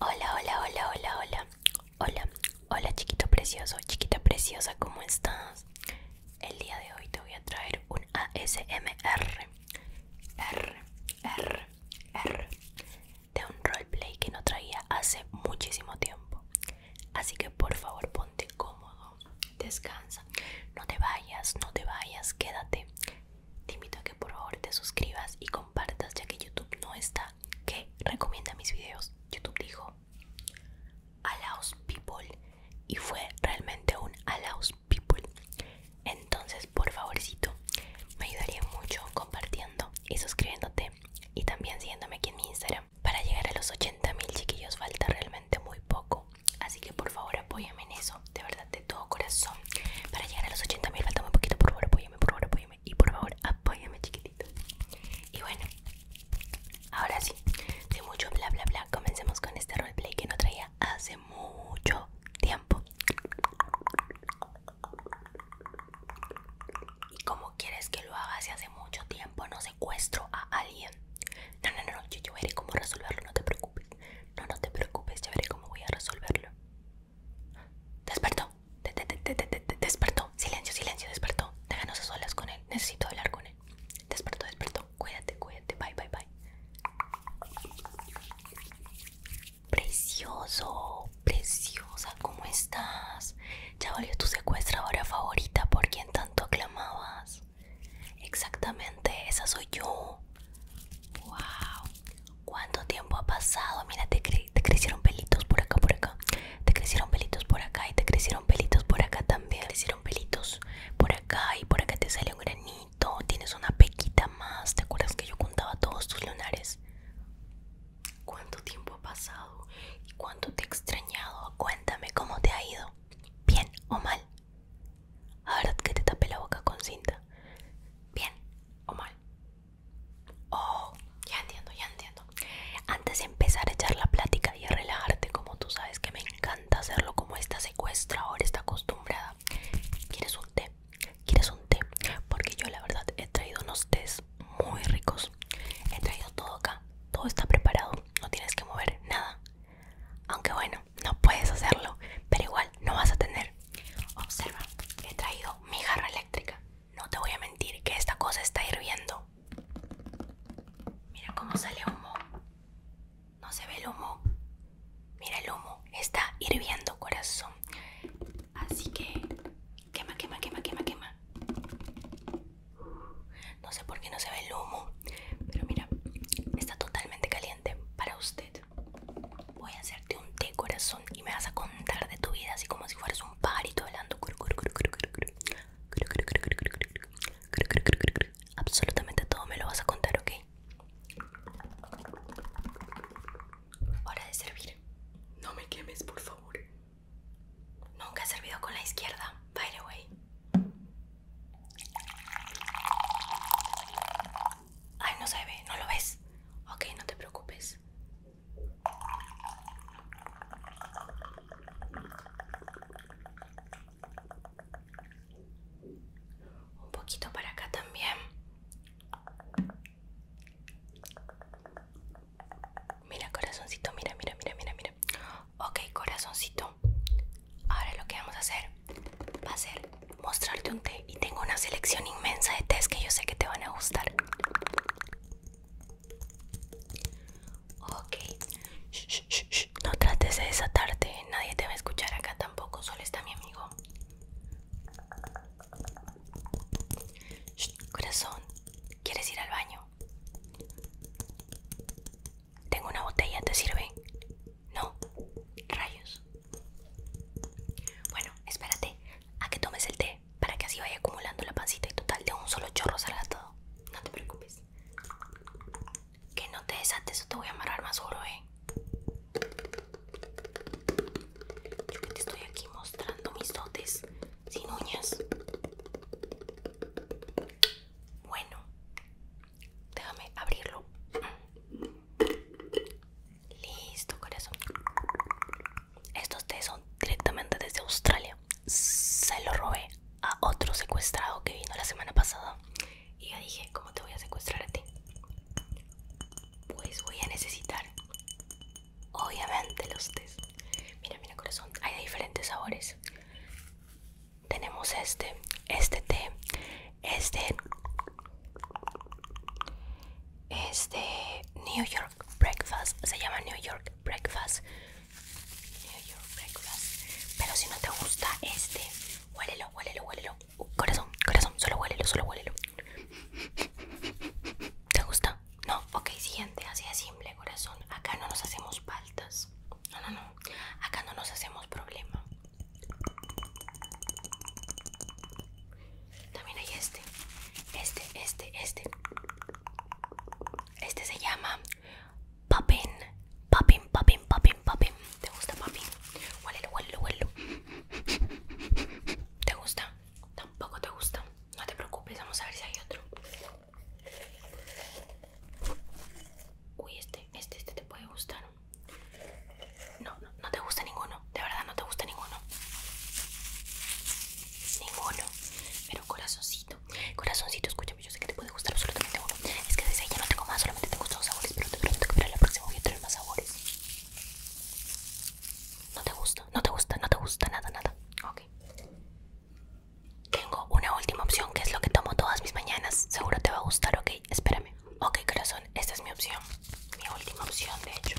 Hola, hola, hola, hola, hola. Hola, hola chiquito precioso, chiquita preciosa, ¿cómo estás? El día de hoy te voy a traer un ASMR. R, R, R. De un roleplay que no traía hace muchísimo tiempo. Así que por favor ponte cómodo, descansa, no te vayas, no te vayas, quédate te invito a que por favor te suscribas y compartas ya que YouTube no está que recomienda mis videos. YouTube dijo Allows People y fue realmente un Allows People. Entonces, por favorcito, me ayudaría mucho compartiendo y suscribiéndote y también siguiéndome aquí en mi Instagram. Para llegar a los 80.000 chiquillos falta realmente muy poco. Así que por favor apóyame en eso, de verdad, de todo corazón. Para llegar a los 80 mil falta muy poquito, por favor apóyame, por favor apóyame. Y por favor apóyame chiquitito. Y bueno, ahora sí, de mucho bla bla bla, comencemos con este roleplay que no traía hace mucho tiempo. ¿Y cómo quieres que lo haga si hace mucho tiempo no secuestro a alguien? No, no, no, yo, veré cómo resolverlo, no te preocupes. No, no te preocupes, ya veré cómo voy a resolverlo. Despertó. despertó. Silencio, silencio, despertó. Déjanos a solas con él. Necesito hablar con él. Despertó, despertó. Cuídate, cuídate. Bye, bye, bye. Precioso, preciosa, ¿cómo estás? Ya volvió tu secuestradora favorita por quien tanto aclamabas. Exactamente, esa soy yo. ¡Wow! ¿Cuánto tiempo ha pasado? Mira, te, crecieron pelitos por acá, por acá. Te crecieron pelitos por acá y te crecieron pelitos por acá también. Te crecieron pelitos por acá y por acá te salió un granito. Tienes una pequita más. ¿Te acuerdas que yo contaba todos tus lunares? ¿Cuánto tiempo ha pasado? ¿Y cuánto te he extrañado? Cuéntame cómo te ha ido. ¿Bien o mal? Ahora que te tape la boca con cinta. ¿Bien o mal? Oh, ya entiendo, ya entiendo. Antes de empezar a echar la plática y a relajarte, como tú sabes que me encanta hacerlo, como esta secuestra ahora está acostumbrada. ¿Quieres un té? ¿Quieres un té? Porque yo la verdad he traído unos tés muy ricos. He traído todo acá. Todo está preparado. No tienes que mover nada. Aunque bueno, no puedes hacerlo, pero igual no vas a tener. Observa, he traído mi jarra eléctrica. No te voy a mentir que esta cosa está hirviendo. Mira cómo sale humo. No se ve el humo. Mira el humo, está hirviendo, corazón. Así que quema, quema, quema, quema, quema. No sé por qué no se ve el humo, pero mira, está totalmente caliente para usted. Voy a hacerte un té corazón y me vas a contar de tu vida así como si fueras un parito hablando. Absolutamente todo me lo vas a contar, ¿ok? Hora de servir. No me quemes, por favor. Nunca he servido con la izquierda, by the way. Ay, no se ve, no lo ves. Ok, no te preocupes. Un poquito para acá también. Mira, corazoncito, mira, mira, mira, mira, mira. Ok, corazoncito. Ahora lo que vamos a hacer va a ser mostrarte un té y tengo una selección inmensa de tés que yo sé que te van a gustar. Ok, no trates de desatarte, nadie te va a escuchar acá tampoco, solo está mi amigo. corazón, ¿quieres ir al baño? Tengo una botella, ¿te sirve? No. Rayos. Bueno, espérate a que tomes el té para que así vaya acumulando la pancita y total de un solo chorro salga todo. No te preocupes. Que no te desates o te voy a amarrar más duro, ¿eh? Yo que te estoy aquí mostrando mis dotes sin uñas. Bueno, Déjame abrirlo. Listo, corazón. Estos tés son directamente desde Australia. Se lo robé a otro secuestrado que vino la semana pasada. Y yo dije, ¿cómo te voy a secuestrar a ti? Pues voy a necesitar, obviamente, los tés. Mira, mira, corazón. Hay diferentes sabores tenemos este este té este este New York breakfast se llama New York breakfast New York breakfast pero si no te gusta este huélelo huélelo huélelo uh, corazón corazón solo huélelo solo huélelo ¿Te gusta? No, ok, siguiente, así de simple corazón. Acá no nos hacemos faltas. No, no, no. Acá no nos hacemos problema. También hay este. Este, este, este. Este se llama Papin. Papin, papin, papin, papin. ¿Te gusta, papin? el, huelo, huelo ¿Te gusta? Tampoco te gusta. No te preocupes, vamos a ver si hay otro. Uy, este este, este, este, te puede gustar. No, no, no te gusta ninguno, de verdad no te gusta ninguno. Ninguno. Pero corazoncito, corazoncito, escúchame, yo sé que te puede gustar absolutamente uno. Es que desde ahí ya no tengo más, solamente te gustan dos sabores, pero te prometo que para la próxima voy a traer más sabores. No te gusta, no te gusta, no te gusta nada, nada. Ok. Tengo una última opción que es lo que tomo todas mis mañanas. Seguro te va a gustar, ok. Espérame. Ok, corazón, esta es mi opción. Mi última opción, de hecho.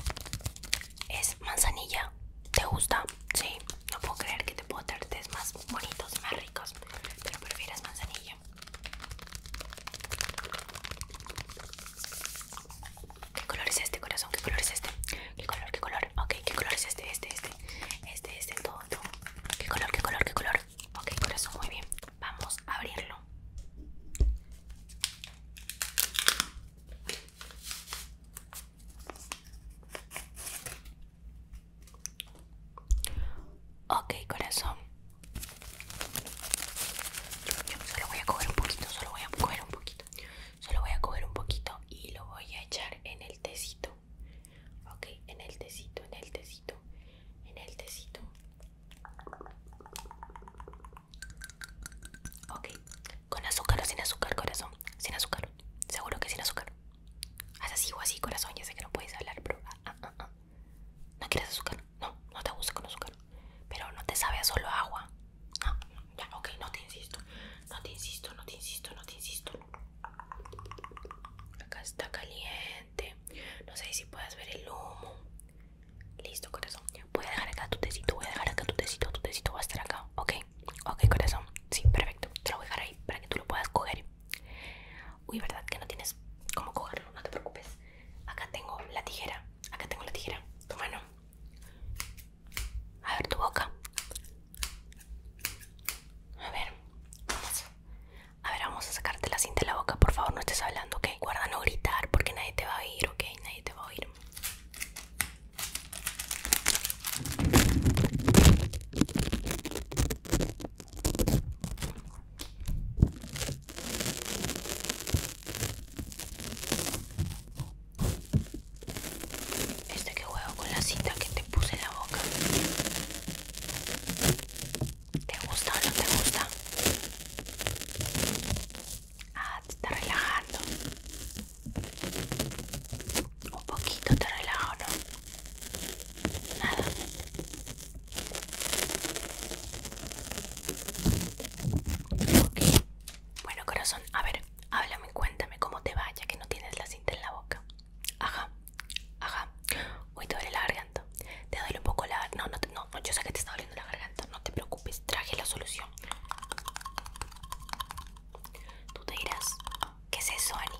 Es manzanilla. ¿Te gusta? Sí. No puedo creer que te puedo dar test más bonitos más ricos. Pero prefieres manzanilla. ¿Qué color es este, corazón? ¿Qué color es este? ¿Qué color? ¿Qué color? Ok, ¿qué color es este? Este, este. Este, este, todo, todo. ¿Qué color? ¿Qué color? ¿Qué color? Ok, corazón, muy bien. Vamos a abrirlo. Ok, corazón. Yo solo voy a coger un poquito, solo voy a coger un poquito. Solo voy a coger un poquito y lo voy a echar en el tecito ok en el tecito en el tecito en el tecito ok con azúcar o sin azúcar corazón sin azúcar seguro que sin azúcar haz así o así corazón ya sé que no puedes hablar pero ah, ah, ah, no quieres azúcar no no te gusta con azúcar pero no te sabe solo agua ya ok no te insisto no te insisto no te insisto no te insisto Acá está caliente. No sé si puedes ver el humo. Listo, corazón. Voy a dejar acá tu tecito. Voy a dejar acá tu tecito. Tu tecito va a estar acá. Ok, ok, corazón. Sí, perfecto. Te lo voy a dejar ahí para que tú lo puedas coger. Uy, ¿verdad que no tienes cómo cogerlo? No te preocupes. Acá tengo la tijera. Acá tengo la tijera. Tu mano. A ver, tu boca. A ver, vamos. A ver, vamos a sacarte la cinta de la boca. Por favor, no estés hablando, ¿ok? Guarda no gritar porque nadie te va a oír, ¿ok? Nadie te va a oír. Este que juego con la cinta que te puse en la boca. ¿Te gusta o no te gusta? Ah, te está relajando. Un poquito te ¿o ¿no? Nada. Ok. Bueno, corazón, a ver, háblame, cuéntame cómo te va ya que no tienes la cinta en la boca. Ajá, ajá. Uy, te duele la garganta. Te duele un poco la garganta. No, no, no, yo sé que te está doliendo la garganta. No te preocupes, traje la solución. Tú te dirás, ¿qué es eso, Ani?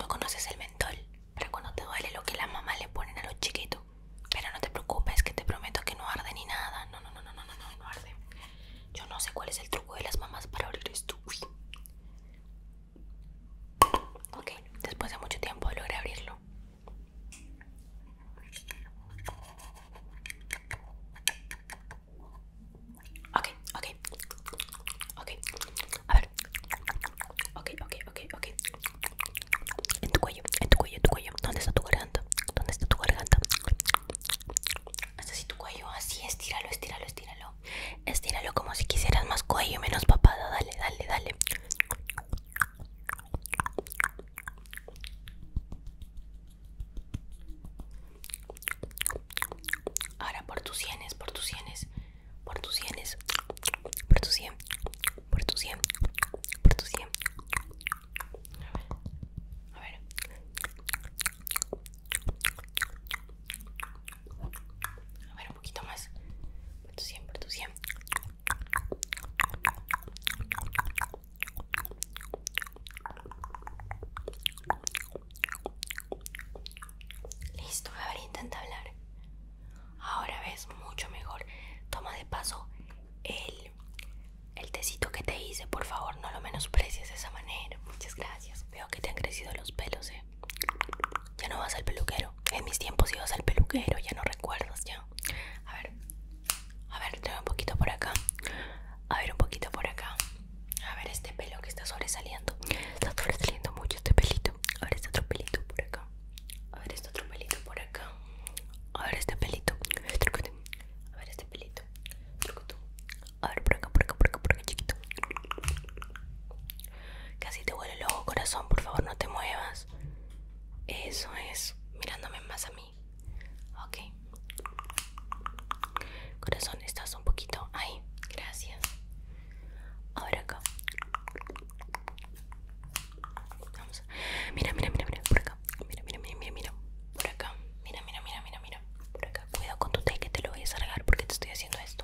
No conoces el mentol. Para cuando te duele lo que las mamás le ponen a los chiquitos. Pero no te preocupes, que te prometo que no arde ni nada. No, no, no, no, no, no, no, no arde. Yo no sé cuál es el truco de las mamás para abrir esto. Ok, después de mucho tiempo logré abrirlo. Ok, ok. Ok, a ver. Ok, ok, ok, ok. En tu cuello, en tu cuello, en tu cuello. ¿Dónde está tu garganta? ¿Dónde está tu garganta? Hasta así tu cuello, así, estíralo, estíralo, estíralo. Estíralo como si quisieras más cuello, menos papada. Dale, dale, dale. Ahora por tus sienes, por tus sienes, por tus sienes, por tus sien, por tus sien, por tus sien. A ver. A ver. A ver, un poquito más. Por tu 100, por tu Listo, a ver, intenta hablar. Ahora ves mucho mejor. Toma de paso el, el tecito que te hice, por favor, no lo menosprecies de esa manera. Muchas gracias. Veo que te han crecido los pelos, eh. Ya no vas al peluquero. En mis tiempos ibas al peluquero, ya no recuerdas ya. A ver. A ver, un poquito por acá. A ver, un poquito por acá. A ver este pelo que está sobresaliendo. Está sobresaliendo mucho este pelito. A ver este otro pelito por acá. A ver este otro pelito por acá. A ver este pelito. A ver este pelito. A ver, por acá, por acá, por acá, por acá, chiquito. Casi te huele loco, corazón, por favor, no te muevas. Eso es, mirándome más a mí. Ok. Corazón, estás un poquito ahí. Gracias. Ahora acá. Vamos. Mira, mira, mira, mira, por acá. Mira, mira, mira, mira, mira. Por acá. Mira, mira, mira, mira, mira. Por acá. Cuidado con tu té que te lo voy a salgar porque te estoy haciendo esto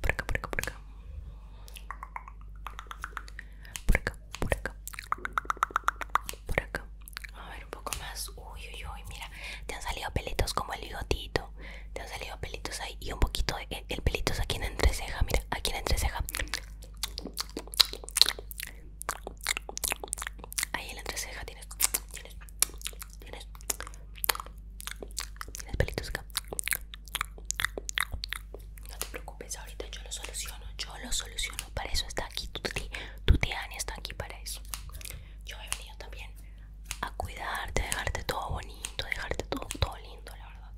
por acá, por acá, por acá. Por acá, por acá. Por acá. A ver, un poco más. Uy, uy, uy, mira. Te han salido pelitos como el bigotito. Te han salido pelitos ahí. Y un poquito el, pelitos aquí en la entreceja. Mira, aquí en la entreceja. Ahí en la entreceja tienes. Tienes. Tienes. Tienes pelitos acá. No te preocupes, ahorita yo lo soluciono. Yo lo soluciono. Para eso está aquí tu tía, está aquí para eso. Yo he venido también a cuidarte, a dejarte todo bonito, dejarte todo, todo lindo, la verdad.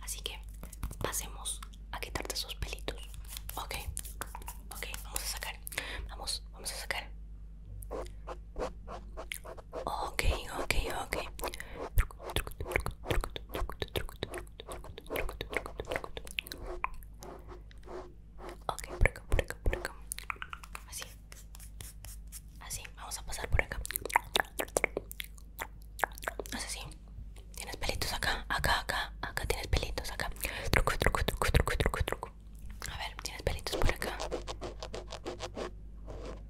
Así que pasemos a quitarte esos pelitos. Ok, ok, vamos a sacar. Vamos, vamos a sacar. Ok, ok, ok. Ok, por acá, por acá, por acá. Así. Así, vamos a pasar por acá. así. Tienes pelitos acá, acá, acá, acá tienes pelitos acá. Truco, truco, truco, truco, truco, truco. A ver, tienes pelitos por acá.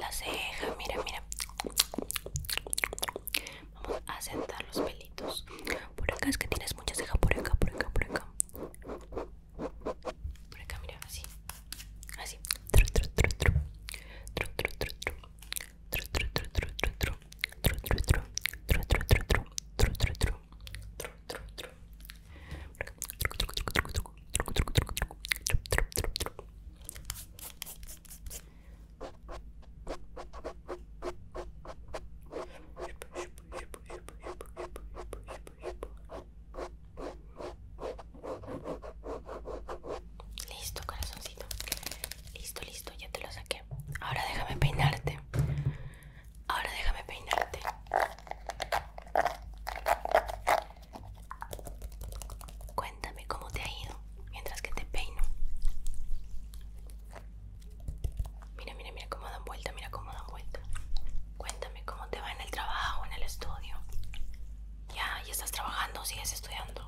la ceja, mira, mira. Vamos a sentar los pelitos. Por acá es que tienes mucha ceja, por acá, por acá, por acá. Por acá, mira, así. Así. tru, tru, tru. Tru, tru, tru, tru, tru. Tru, tru, tru, tru, tru. Tru, tru, tru, tru, tru, tru. Listo, corazoncito. Listo, listo, ya te lo saqué. Ahora déjame peinarte. Ahora déjame peinarte. Cuéntame cómo te ha ido mientras que te peino. Mira, mira, mira cómo dan vuelta, mira cómo dan vuelta. Cuéntame cómo te va en el trabajo, en el estudio. Ya, ya estás trabajando, sigues estudiando.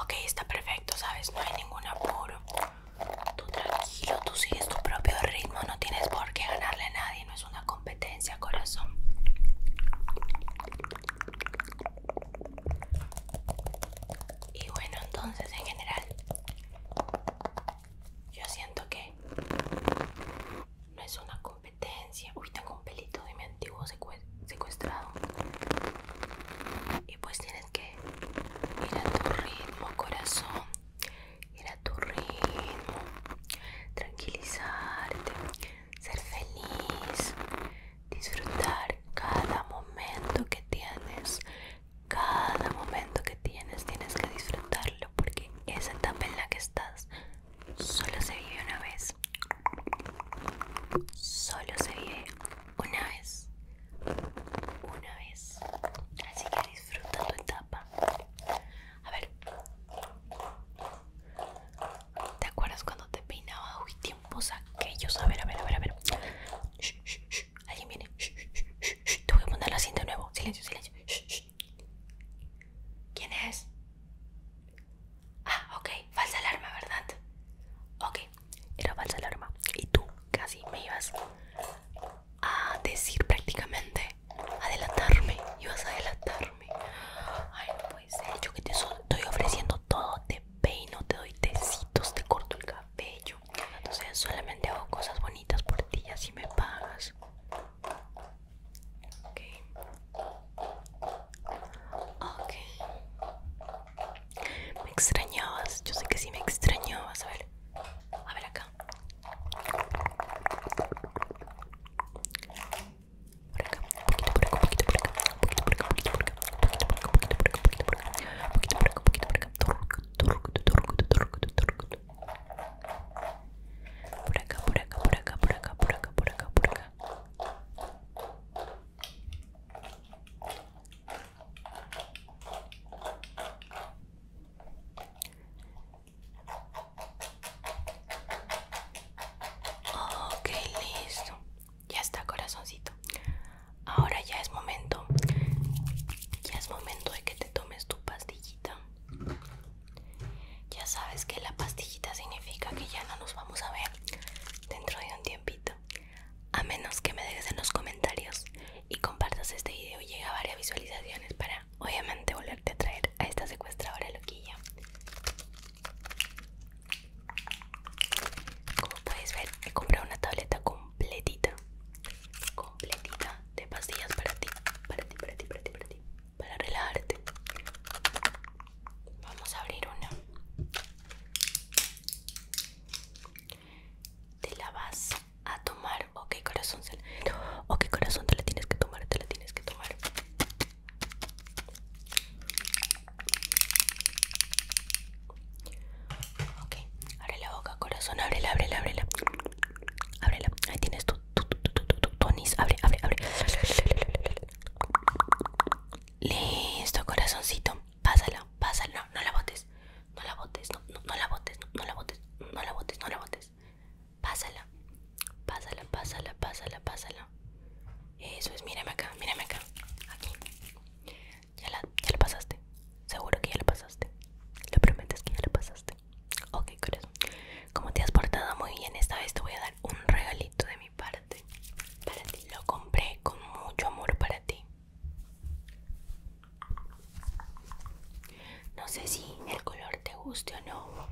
Ok, está perfecto, ¿sabes? No hay ningún apuro. Tú tranquilo, tú sigues tu propio ritmo, no tienes por qué ganarle a nadie, no es una competencia, corazón. Y bueno, entonces en general, yo siento que no es una competencia. Uy, tengo un pelito de mi antiguo secuestrado. Y pues tienes que ir a tu ritmo, corazón ir a tu ritmo, tranquilizarte, ser feliz, disfrutar cada momento que tienes. Cada momento que tienes tienes que disfrutarlo porque esa etapa en la que estás solo se vive una vez. Solo se vive una vez. Una vez. Así que disfrutando tu etapa. A ver, ¿te acuerdas cuando te peinaba? Uy, tiempos aquellos. A ver, a ver, a ver, a ver. Shh, shh, shh. Alguien viene. Shh, shh, shh, shh. Te voy a poner la cinta de nuevo. Silencio, silencio. Shh, shh. ¿Quién es? Ah, ok, falsa alarma, ¿verdad? Ok, era falsa alarma. Y tú casi me ibas a decir prácticamente adelantarme, vas a adelantarme. Ay, no yo que te estoy ofreciendo todo, te peino, te doy tecitos, te corto el cabello. sé solamente hago cosas bonitas por ti así me pagas. Ok. Ok. Me extrañabas, yo sé que sí me extrañabas. A Vale. A ver acá. Por acá, un poquito por acá, un poquito por acá, un poquito por acá, un poquito por acá, un poquito por acá, un poquito por acá, un poquito por acá, un poquito por acá, por acá, por acá, por acá, por acá, por acá, por acá, por acá. Ok, oh, listo. Ya está, corazoncito. Ahora ya es momento. Ya es momento de que te tomes tu pastillita. Ya sabes que la pastillita significa que ya no nos vamos a ver dentro de un tiempito. A menos que me dejes en los comentarios y compartas este video llega a varias visualizaciones para obviamente volverte a traer a esta secuestradora loquilla como puedes ver he comprado una tableta completita completita de pastillas para ti para ti para ti para ti para ti para relajarte vamos a abrir una te la vas a tomar ok corazón ok corazón te la tienes que tomar te la tienes que tomar ok abre la boca corazón ábrela ábrela ábrela ábrela ahí tienes tu, tu, tu, tu, tu, tonis abre abre abre listo corazoncito pásala pásala no, no la botes no la botes, no, la botes, no, la botes, no la botes, no la botes. Pásala, pásala, pásala, pásala, pásala. Eso es, mírame acá, mírame acá. Aquí. Ya la, pasaste. Seguro que ya la pasaste. Lo prometes que ya la pasaste. Ok, corazón. Como te has portado muy bien, esta vez te voy a dar un regalito de mi parte. Para Lo compré con mucho amor para ti. No sé si el color te guste o no,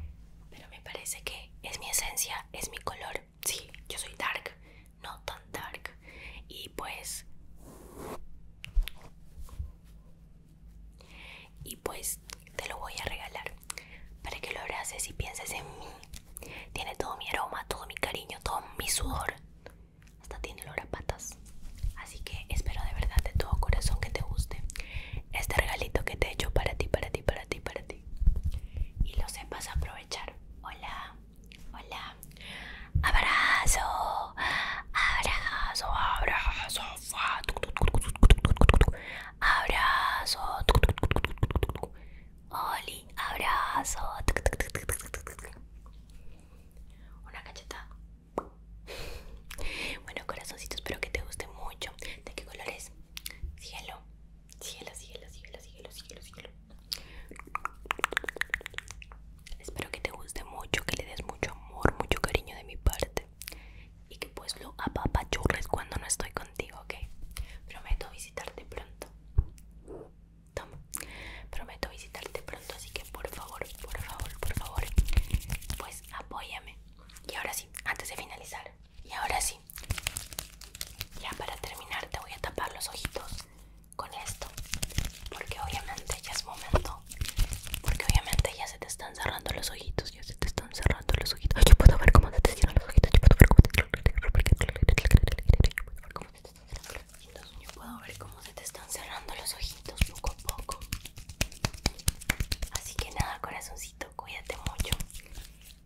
pero me parece que es mi esencia, es mi color. Sí, yo soy dark, no tan dark. Y pues... Y pues te lo voy a regalar para que lo abraces y pienses en mí. Tiene todo mi aroma, todo mi cariño, todo mi sudor, hasta tiene olor a patas. Así que espero de verdad de todo corazón que te guste este regalito que te he hecho para ti, para ti, para ti, para ti. Y lo sepas aprovechar. Hola, hola. Abrazo, abrazo, abrazo, abrazo, Oli, abrazo. Una cacheta. Bueno, corazoncito, espero que te guste mucho. ¿De qué color es? Cielo. Cielo, cielo, cielo, cielo, cielo, cielo. Espero que te guste mucho, que le des mucho amor, mucho cariño de mi parte. Y que pues lo apapachurres cuando no estoy contigo, ¿ok? Prometo visitarte pronto. Toma. Prometo visitarte pronto, así que por favor, por favor, por favor, pues apóyame. Y ahora sí, antes de finalizar, y ahora sí, ya para terminar te voy a tapar los ojitos con esto, porque obviamente ya es momento, porque obviamente ya se te están cerrando los ojitos, ya se te están cerrando los ojitos. Yo puedo ver cómo se te cierran los ojitos, yo puedo ver cómo te cierran los ojitos, y puedo ver cómo se te están cerrando los ojitos poco a poco. Así que nada, corazoncito, cuídate mucho.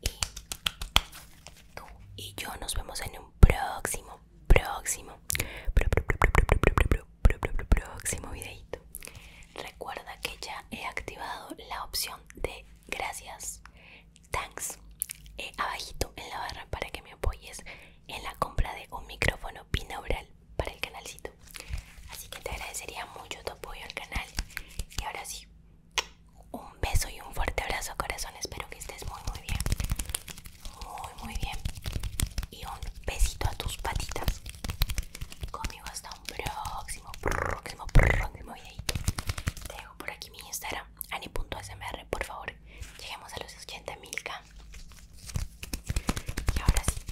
Y tú y yo nos vemos en un próximo, próximo, próximo videito. Recuerda que ya he activado la opción de gracias, thanks, abajito en la barra para que me apoyes en la compra de un micrófono binaural para el canalcito. Así que te agradecería mucho tu apoyo al canal. Y ahora sí, un beso y un fuerte abrazo, corazón. Espero que estés muy, muy bien. Muy, muy bien. Y un besito a tus patitas. Conmigo hasta un próximo, próximo, próximo videito. Te dejo por aquí mi Instagram, ani.smr, por favor llegamos lleguemos a los 80 milka y ahora sí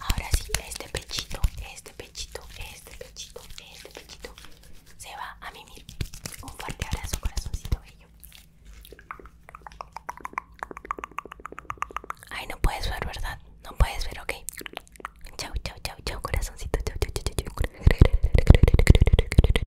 ahora sí este pechito este pechito este pechito este pechito se va a mimir un fuerte abrazo corazoncito bello ay no puedes ver verdad no puedes ver ok chau chau chau chau corazoncito chau chau chau chao